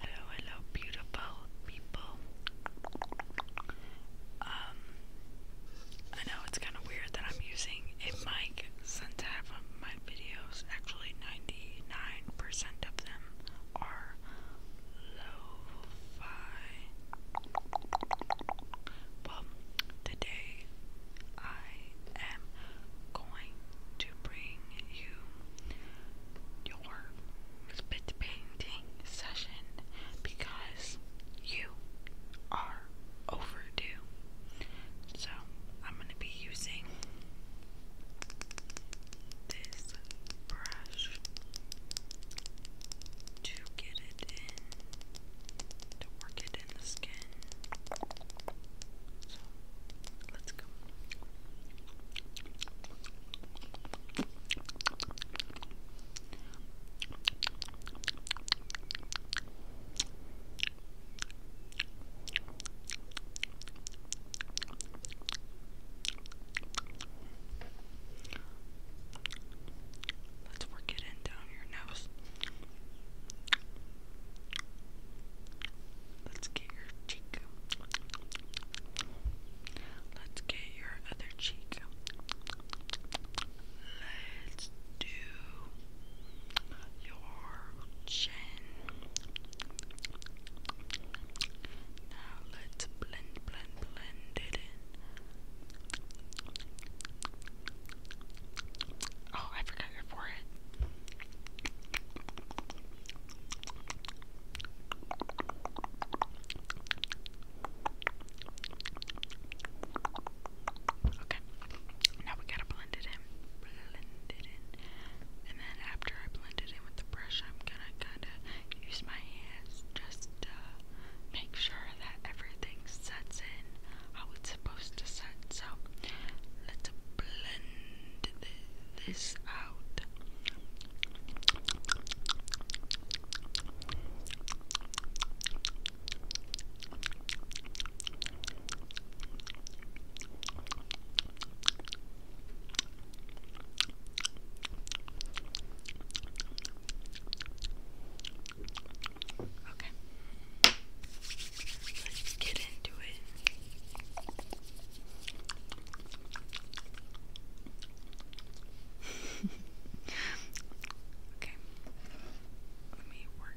Hello, hello, beautiful people. Um, I know it's kind of weird that I'm using a mic since half of um, my videos, actually 99% of them, are lo-fi. Well, today I am going to bring you your spit painting session because you are overdue. So I'm going to be using this brush to get it in, to work it let's go. Let's work it in down your nose. Let's get your cheek. Let's get your other cheek. Let's do your chin. Now let's blend, blend, blend it in. Oh, I forgot your forehead. Okay. Now we gotta blend it in. Blend it in. And then after I blend it in with the brush, I'm gonna kinda use my hands just uh, make sure that everything sets in how it's supposed to set. So let's blend this out. Okay. Let's get into it. okay. Let me work.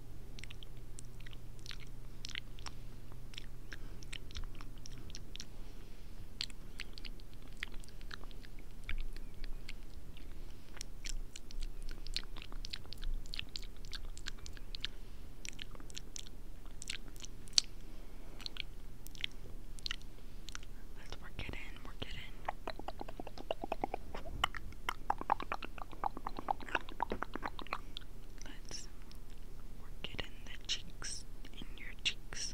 Let's work it in, work it in. Let's work it in the cheeks, in your cheeks.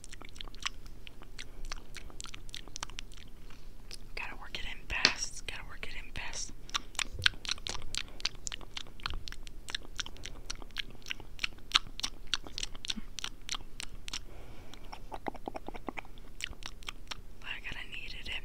Gotta work it in fast. Gotta work it in fast. But I kinda needed it.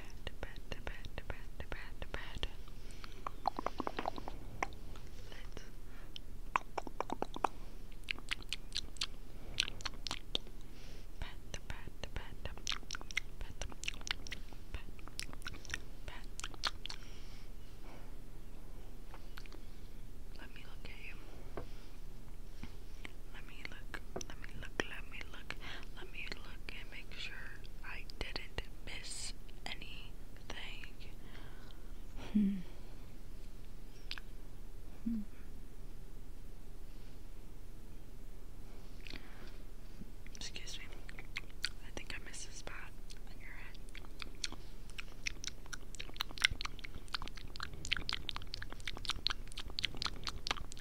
pat, pat, pat, pat, pat, pat. Let's pat, pat, pat, pat, pat, pat. Let me look at you. Let me look. Let me look. Let me look. Let me look and make sure I didn't miss anything. Hmm. Excuse me. I think I missed a spot on your head.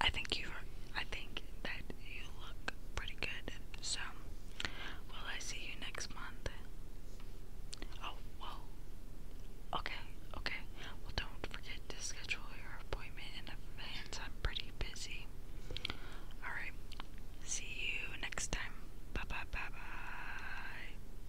I think you I think that you look pretty good. So will I see you next month? Oh well okay, okay. Well don't forget to schedule your appointment in advance. I'm pretty busy. Alright. See you next time. Bye bye bye bye.